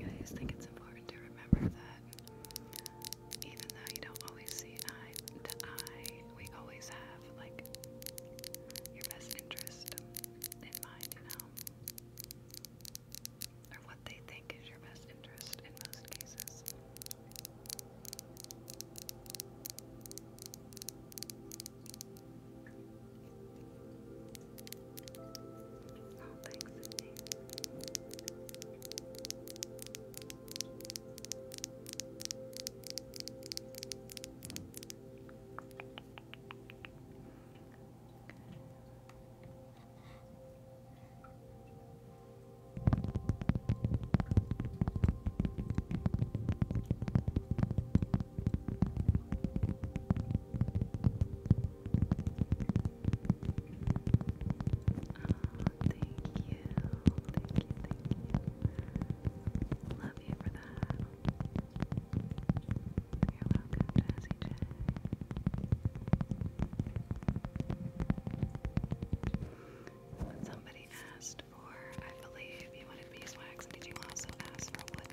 I think it's important to remember that even though you don't always see eye to eye, we always have like your best interest in mind, you know, or what they think is your best interest in most cases. Oh, thanks, Cindy. Okay thank you. Thank you, thank you. Love you for that. You're welcome, Jazzy somebody asked for, I believe you wanted beeswax. Did you also ask for wood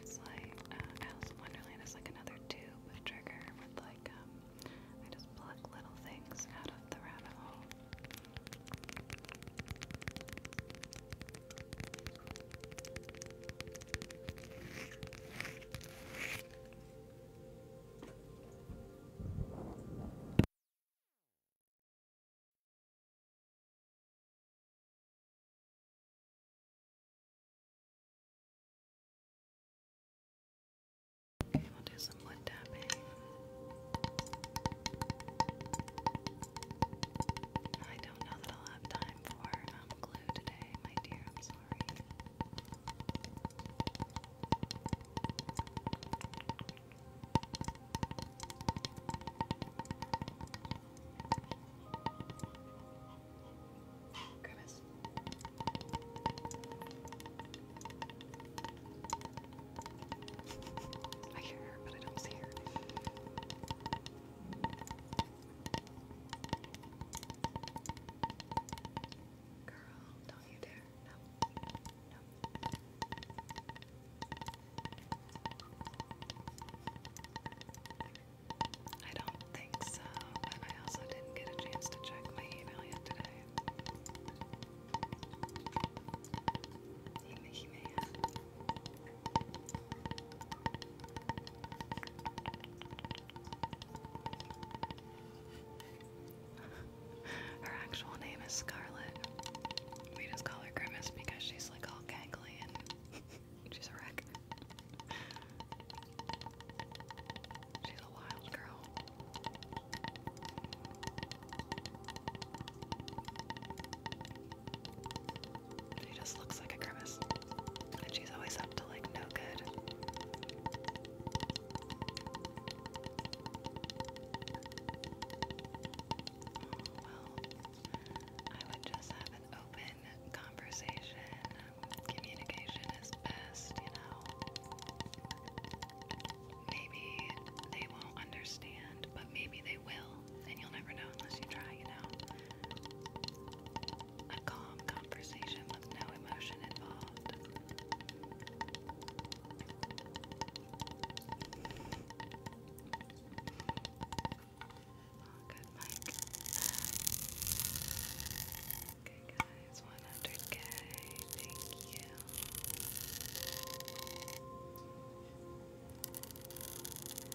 It's like uh, Alice in Wonderland is like another tube trigger with like um, I just pluck little things out of the rabbit hole. Okay, we'll do some wood tapping. I don't know that I'll have time for um, glue today, my dear. I'm sorry. Grimace. I hear but I don't see her. Girl, don't you dare. No. No. I don't think so, but I also didn't get a chance to check my email yet today. He her actual name is Scarlett. We just call her Grimace because she's like all gangly and She's a wreck. She's a wild girl. She just looks like a grimace. And she's always up to like no good. Oh, I would just have an open conversation. communication is best, you know. Maybe they won't understand, but maybe they will, and you'll never know unless you try, you know. A calm conversation with no emotion involved. Oh, good mic. Okay, guys, 100k. Thank you.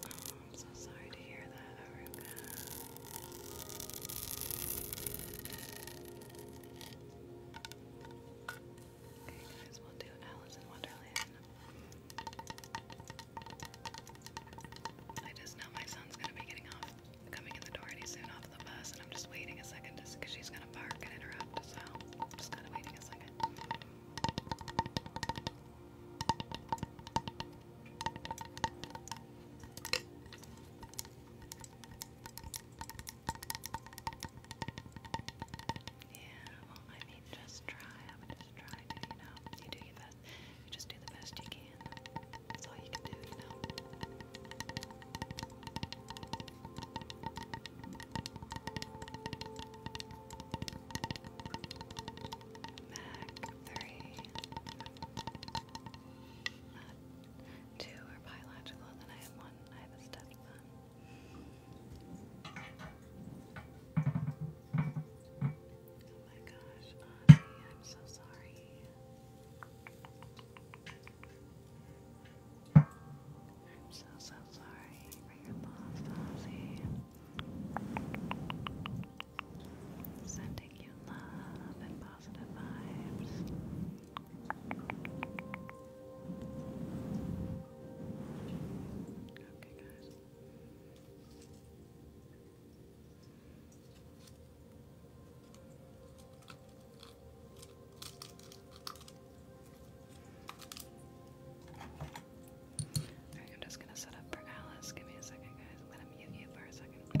Oh, I'm so sorry to hear that, Aruka. Okay, guys, we'll do Alice in Wonderland. I just know my son's gonna be getting off, coming in the door any soon off the bus, and I'm just waiting a second just because she's gonna bark and interrupt, so I'm just kinda waiting a second. Yeah, well, I mean, just try. I would just try to, you know, you do your you just do the best you can. That's all you can do, you know. Mac three, uh, two are biological, and then I have one. I have a stepson. Oh my gosh, I'm so sorry. I'm so, so sorry for your loss, Ozzy. Sending you love and positive vibes. Okay, guys. I'm just gonna set up for Alice. Give me a second, guys. I'm gonna mute you for a second.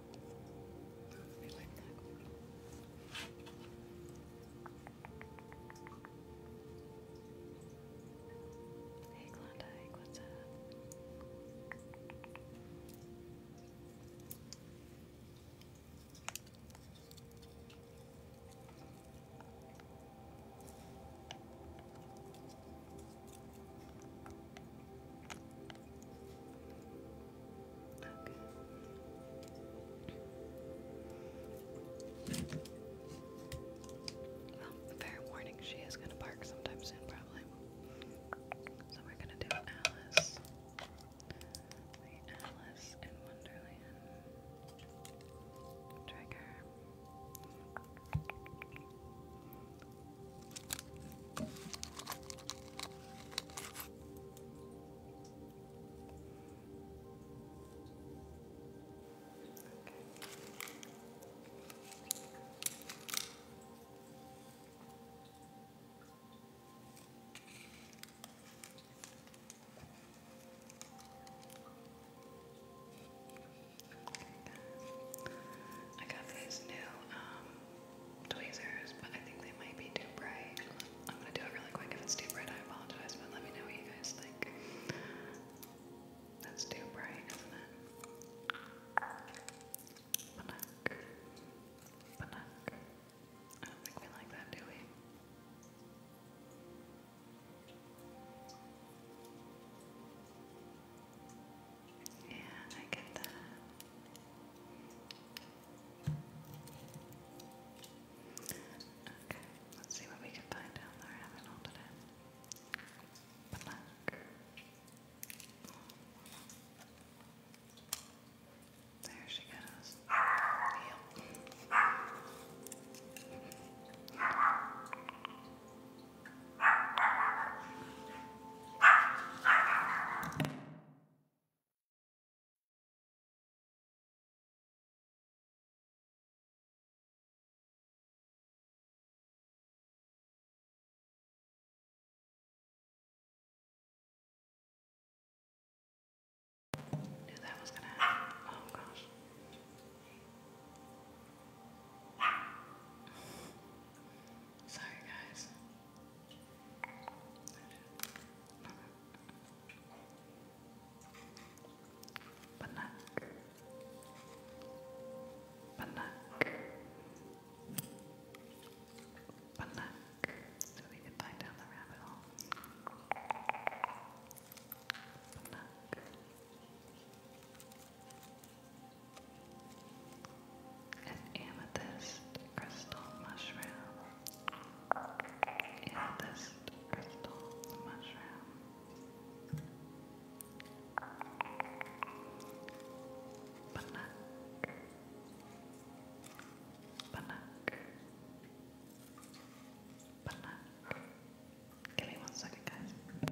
I like Hey Klondike, what's up? Okay. Well, warning, she is going to bark sometime soon, probably. So we're going to do Alice. The Alice in Wonderland trigger. I got these new um tweezers, but I think they might be too bright. I'm gonna do it really quick. If it's too bright, I apologize, but let me know what you guys think. That's too bright, isn't it? Panak. Panak. don't think we like that, do we? Yeah, I get that. Okay, let's see what we can find down there. I haven't opened it. Black. There she goes. Yep. Knew that was gonna happen. Oh gosh. Sorry guys. Banak. Banak. Banak. So we can find down the rabbit hole. Banak. An amethyst crystal mushroom. Amethyst crystal mushroom. Banuk. Banuk. Banuk. Give me one second, guys.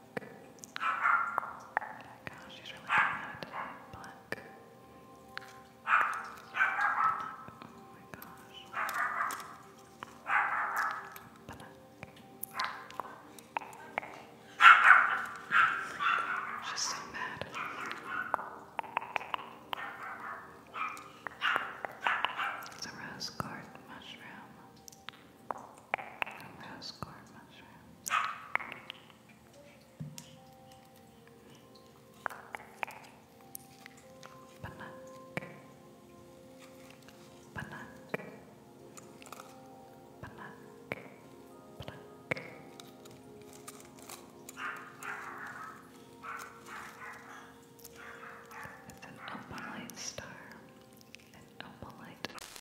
Oh gosh, she's really bad. Black. Oh my gosh. She's so mad. It's a rose garden mushroom. Rose gourd mushroom. It's an opalite star. An opalite.